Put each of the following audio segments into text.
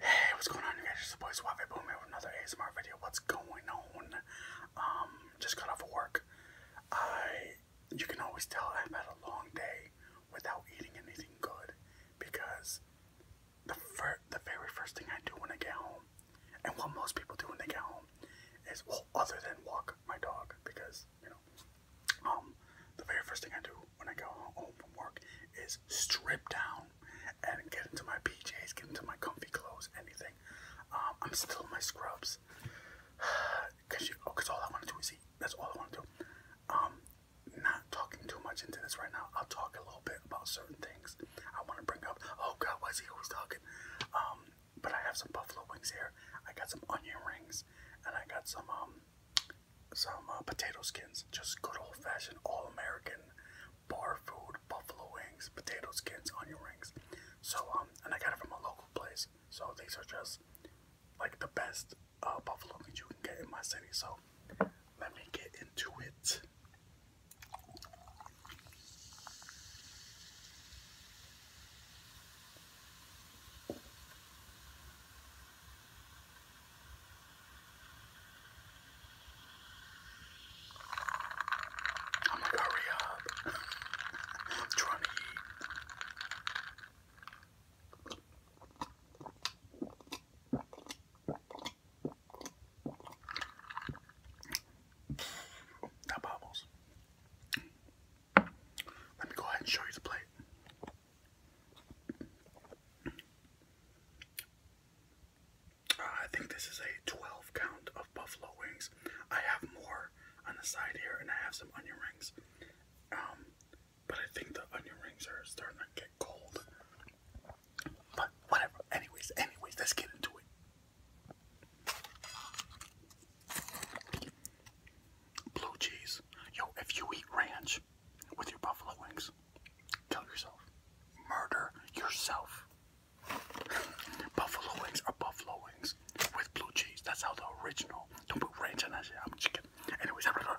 Hey, what's going on, you guys? It's your boy Suave Boom here with another ASMR video. What's going on? Um, just got off work. I, you can always tell I've had a long day without eating anything good because the fir the very first thing I do when I get home, and what most people do when they get home, is well, other than walk my dog because you know, um, the very first thing I do when I go home from work is strip down and get into my PJs, get into my comfy clothes, anything. Um, I'm still in my scrubs because oh, all I want to do is eat. That's all I want to do. Um, not talking too much into this right now. I'll talk a little bit about certain things I want to bring up. Oh God, why he always talking? Um, but I have some buffalo wings here. I got some onion rings, and I got some um, some uh, potato skins, just good old fashioned all American bar food, buffalo wings, potato skins, onion rings. So um, and I got it from a local place. So these are just like the best uh, buffalo that you can get in my city. So let me get into it. I'm like, hurry up. i That bubbles. Let me go ahead and show you the plate. Uh, I think this is a 12 count of buffalo wings. I have more on the side here, and I have some onion rings. Um, but I think the onion rings are starting to get cold. But whatever. Anyways, anyways, let's get into it. Blue cheese. Yo, if you eat ranch, with your buffalo wings. Kill yourself. Murder yourself. buffalo wings are buffalo wings with blue cheese. That's how the original. Don't put ranch on that shit. I'm chicken. Anyways, I'm gonna.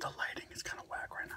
The lighting is kind of whack right now.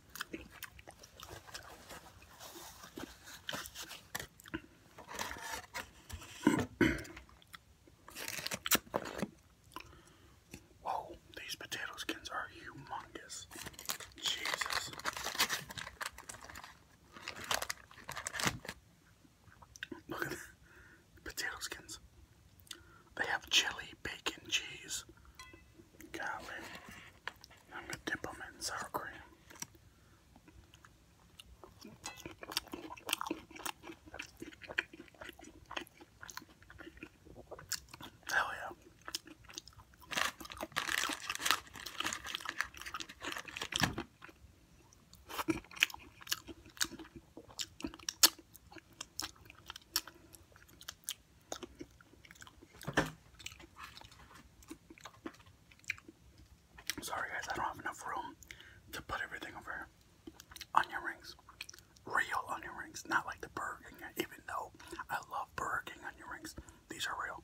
Whoa, these potato skins are humongous. Jesus. Look at the potato skins. They have chili, bacon, cheese, Golly. I'm going to dip them in sour cream. Hell yeah. Sorry guys, I don't have enough room to put everything over onion rings. Real onion rings, not like the Burger King, even though I love Burger King onion rings. These are real.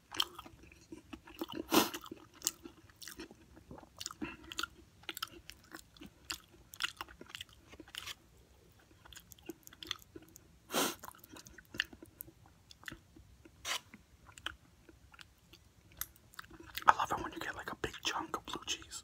I love it when you get like a big chunk of blue cheese.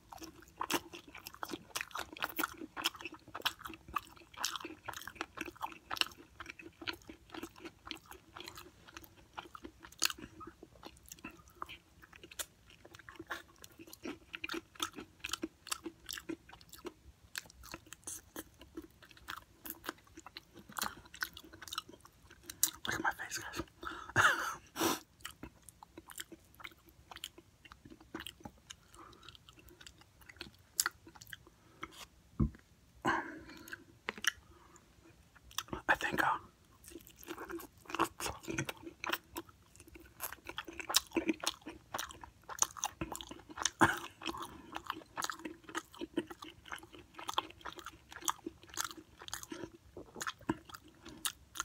Look at my face, guys. I think uh,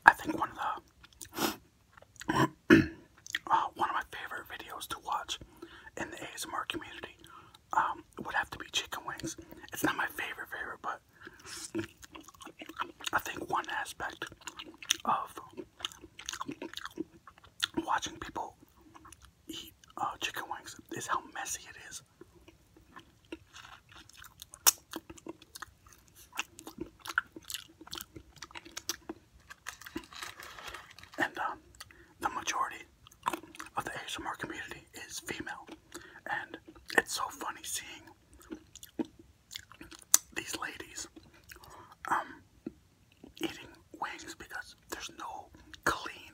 I think one of the uh, one of my favorite videos to watch in the ASMR community um, would have to be chicken wings. It's not my favorite favorite, but I think one aspect of watching people eat uh, chicken wings is how messy it is. And um, the majority of the ASMR community is female, and it's so funny seeing these ladies um, eating wings because there's no clean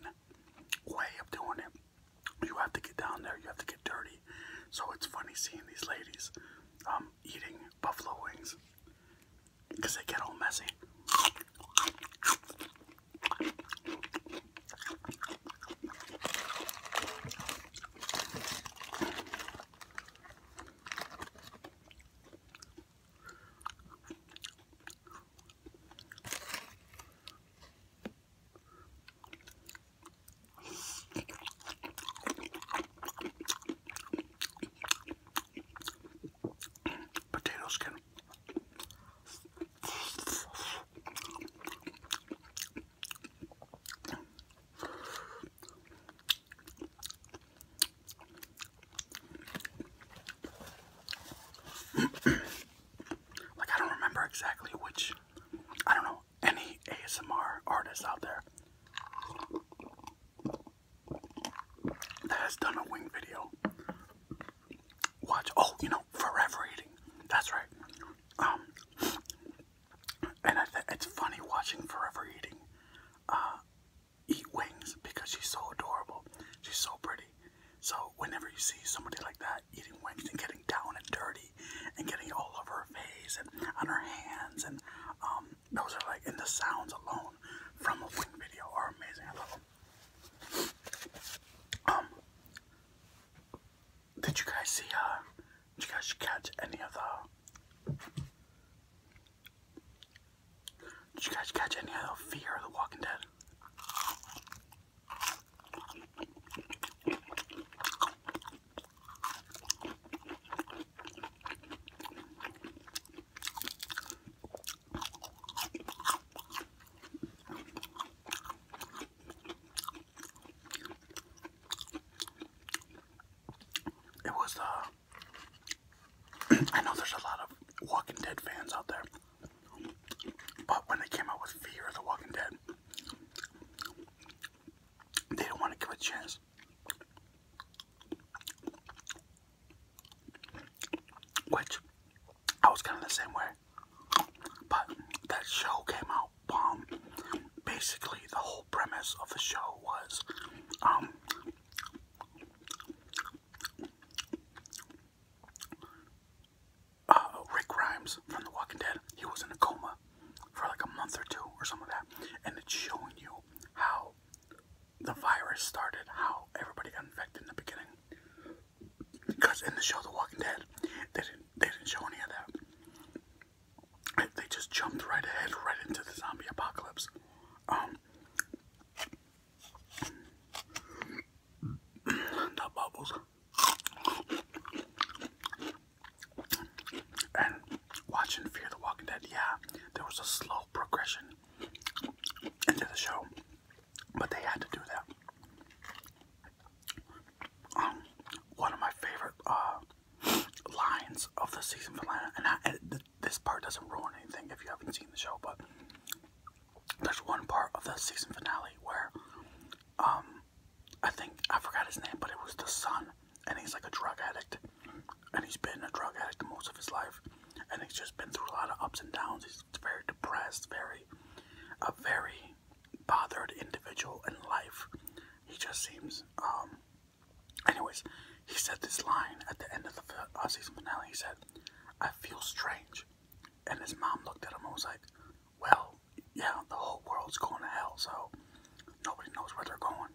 way of doing it. You have to get down there, you have to get dirty. So it's funny seeing these ladies um, eating buffalo wings because they get all messy. Potato skin. like I don't remember exactly which I don't know any ASMR artist out there that has done a wing video. Watch, oh, you know, Forever Eating. That's right. Um, and it's funny watching Forever Eating uh, eat wings because she's so adorable. She's so pretty. So whenever you see somebody like that eating wings and getting down and dirty, and getting all over her face and on her hands. And um, those are like, in the sounds alone from a wing video are amazing. I love them. Um, did you guys see, uh, did you guys catch any of the, did you guys catch any of Fear of the Walking Dead? It was, uh, I know there's a lot of Walking Dead fans out there, but when they came out with Fear of the Walking Dead, they don't want to give it a chance. Which I was kind of the same way, but that show came out bomb. Um, basically, the whole premise of the show was, um, uh, Rick Grimes from The Walking Dead. He was in a coma, for like a month or two or something like that, and it's showing you how the virus started, how everybody got infected in the beginning. Because in the show The Walking Dead, they didn't they didn't show any of that. They just jumped right ahead, right into the zombie apocalypse. Um, the bubbles. And watching Fear the Walking Dead, yeah, there was a slow progression into the show, but they had to do that. Um, one of my favorite uh, lines of the season finale, and, I, and this part doesn't ruin anything if you haven't seen the show, but there's one part of the season finale where, um, I think I forgot his name, but it was the son and he's like a drug addict, and he's been a drug addict most of his life, and he's just been through a lot of ups and downs. He's very depressed, very, a very bothered individual in life. He just seems, um, anyways, he said this line at the end of the uh, season finale. He said, I feel strange. And his mom looked at him and was like, Well, yeah, the whole world's going to hell, so nobody knows where they're going.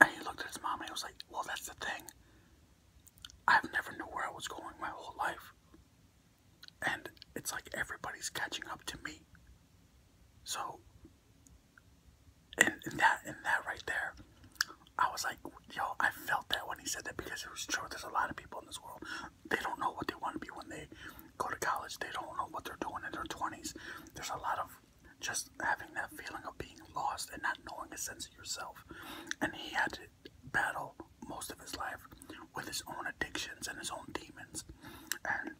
And he looked at his mom and he was like, Well, that's the thing. I've never knew where I was going my whole life. And it's like everybody's catching up to me. So and, that and that right there, I was like, yo, I felt that when he said that because it was true. There's a lot of people in this world they don't know what they want to be when they go to college. They don't know what they're doing in their 20s. There's a lot of just having that feeling of being lost and not knowing a sense of yourself. And he had to battle most of his life with his own addictions and his own demons. And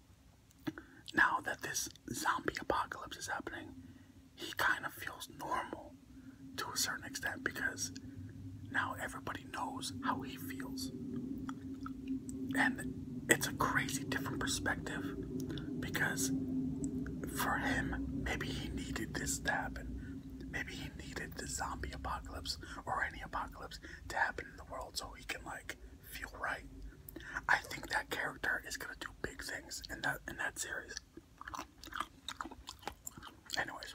now that this zombie apocalypse is happening, he kind of feels normal to a certain extent because now everybody knows how he feels. And it's a crazy different perspective because for him, maybe he needed this to happen. Maybe he needed the zombie apocalypse or any apocalypse to happen in the world so he can like feel right. I think that character is gonna do big things in that in that series. Anyways.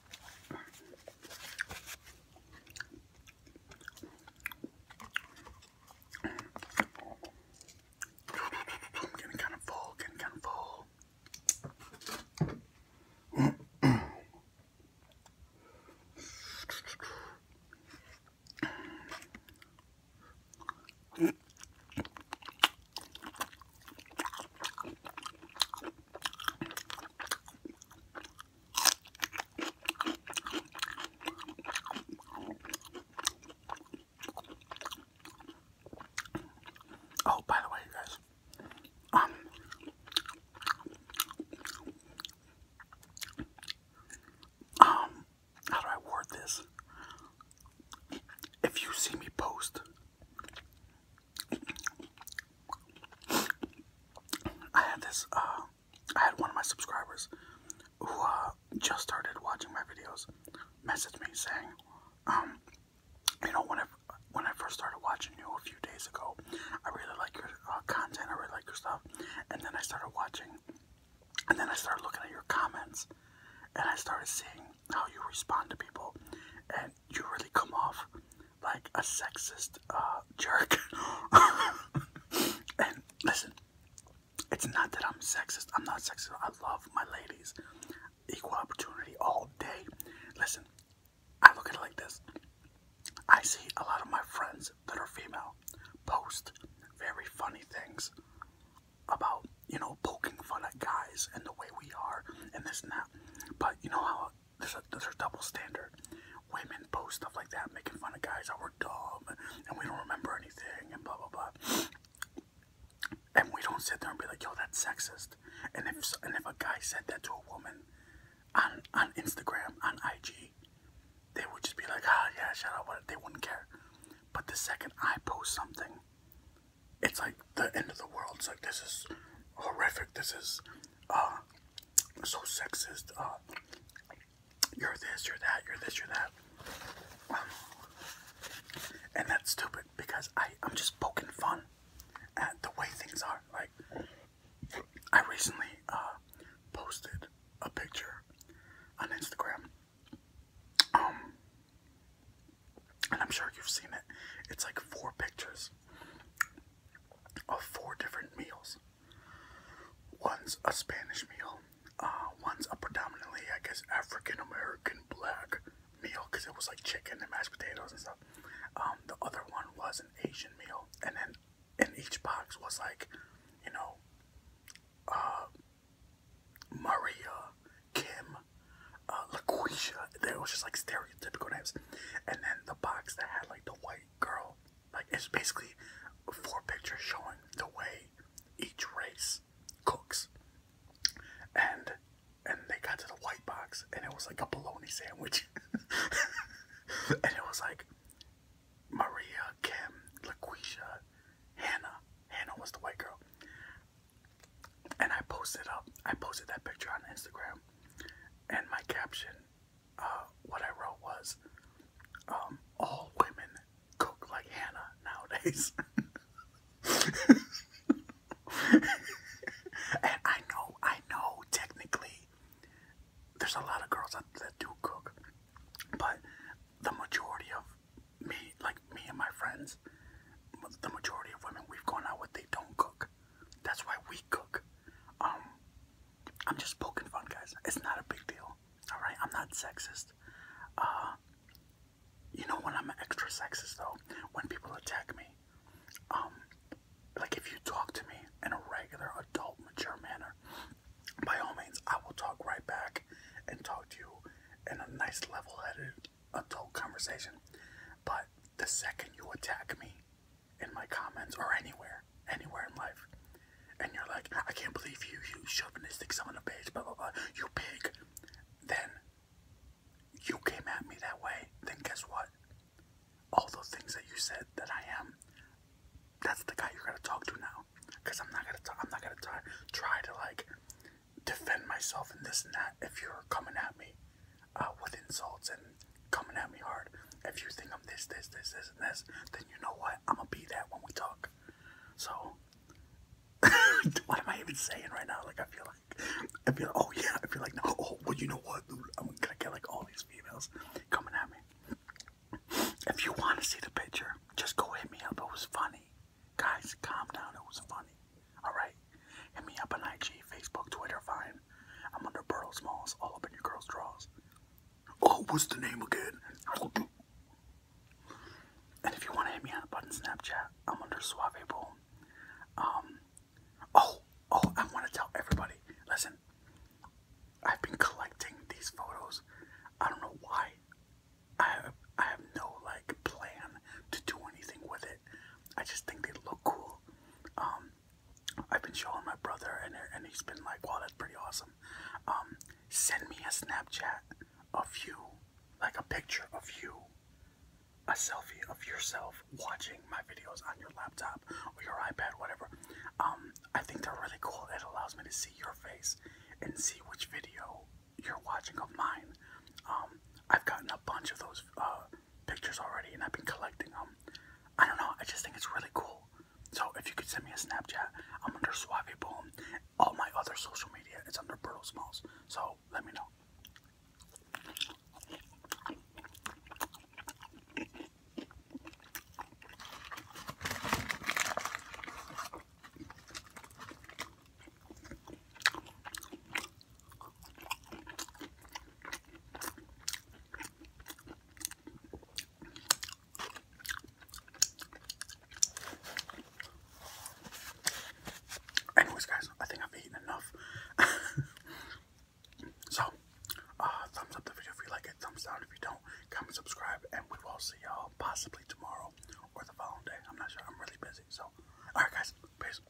I'm getting kind of full, getting kind of full. Oh, by the way, guys, um, um, how do I word this? If you see me post I had this, uh, I had one of my subscribers who uh, just started watching my videos message me saying, um, you know, when I, when I first started watching you a few days ago, I really like your uh, content, I really like your stuff, and then I started watching, and then I started looking at your comments, and I started seeing how you respond to people, and you really come off like a sexist uh, jerk. and listen, it's not that I'm sexist. I'm not sexist. I love my ladies. Equal opportunity all day. Listen, I look at it like this. I see a lot of my friends that are female post very funny things about, you know, poking fun at guys and the way we are and this and that. But you know how there's a, there's a double standard. Women post stuff like that, making fun of guys, that were dumb, and we don't remember anything, and blah, blah, blah. And we don't sit there and be like, yo, that's sexist. And if, and if a guy said that to a woman on, on Instagram, on IG, they would just be like, ah, yeah, shut up, what? They wouldn't care. But the second I post something, it's like the end of the world. It's like, this is horrific. This is uh, so sexist. Uh, you're this, you're that, you're this, you're that. Um, and that's stupid because I, I'm just poking fun at the way things are. Like, I recently uh, posted a picture on Instagram. Um, and I'm sure you've seen it. It's like four pictures of four different meals. One's a Spanish meal, uh, one's a predominantly, I guess, African American black meal because it was like chicken and mashed potatoes and stuff. Um, the other one was an Asian meal, and then in each box was like, you know, uh, Maria, Kim, uh, LaQuisha. There was just like stereotypical names, and then the box that had like the white girl. Like it's basically four pictures showing the way each race cooks. And and they got to the white box and it was like a bologna sandwich. and it was like Maria, Kim, LaQuisha, Hannah. Hannah was the white girl. And I posted up I posted that picture on Instagram and my caption, uh, what I wrote was, um, all women cook like Hannah nowadays. and I know, I know, technically, there's a lot of girls that do cook, but the majority of me, like me and my friends, the majority of women we've gone out with, they don't cook. That's why we cook. Um, I'm just poking fun, guys. It's not a big deal. All right, I'm not sexist. Uh, you know when I'm extra sexist though, when people attack me. Um, like if you talk to me in a regular, adult, mature manner, by all means, I will talk right back and talk to you in a nice, level-headed, adult conversation. But the second you attack me, in my comments or anywhere, anywhere in life, and you're like, I can't believe you, you chauvinistic son of a bitch, blah blah blah, you pig, then you came at me that way, then guess what? All those things that you said that I am, that's the guy you're gonna talk to now, because I'm not gonna, t I'm not gonna t try to like defend myself and this and that if you're coming at me uh, with insults and coming at me hard. If you think I'm this, this, this, this, and this, then you know what? I'm gonna be that when we talk. So, what am I even saying right now? Like, I feel like, I feel, oh yeah, I feel like, no, oh, well, you know what, dude? I'm gonna get like all these females coming at me. If you want to see the picture, just go hit me up. It was funny. Guys, calm down. It was funny. Alright? Hit me up on IG, Facebook, Twitter, Vine. I'm under Burl Smalls, all up in your girl's drawers. Oh, what's the name again? And if you want to hit me on the button Snapchat, I'm under Suave Boom. Um, oh, oh, I want to tell everybody. Listen, I've been collecting these photos. I don't know why. I have, I have no like plan to do anything with it. I just think they look cool. Um, I've been showing my brother, and he's been like, "Wow, that's pretty awesome." Um, send me a Snapchat of you, like a picture of you, a selfie of yourself watching my videos on your laptop or your iPad, whatever. Um, I think they're really cool. It allows me to see your face and see which video you're watching of mine. Um, I've gotten a bunch of those uh, pictures already and I've been collecting them. I don't know, I just think it's really cool. So if you could send me a Snapchat, I'm under Suave Boom. All my other social media is under Brutal Smalls. So let me know. Anyways, guys, I think I've eaten enough. so, uh, thumbs up the video if you like it, thumbs down if you don't, comment, subscribe, and we will see y'all possibly tomorrow or the following day. I'm not sure, I'm really busy. So, alright, guys, peace.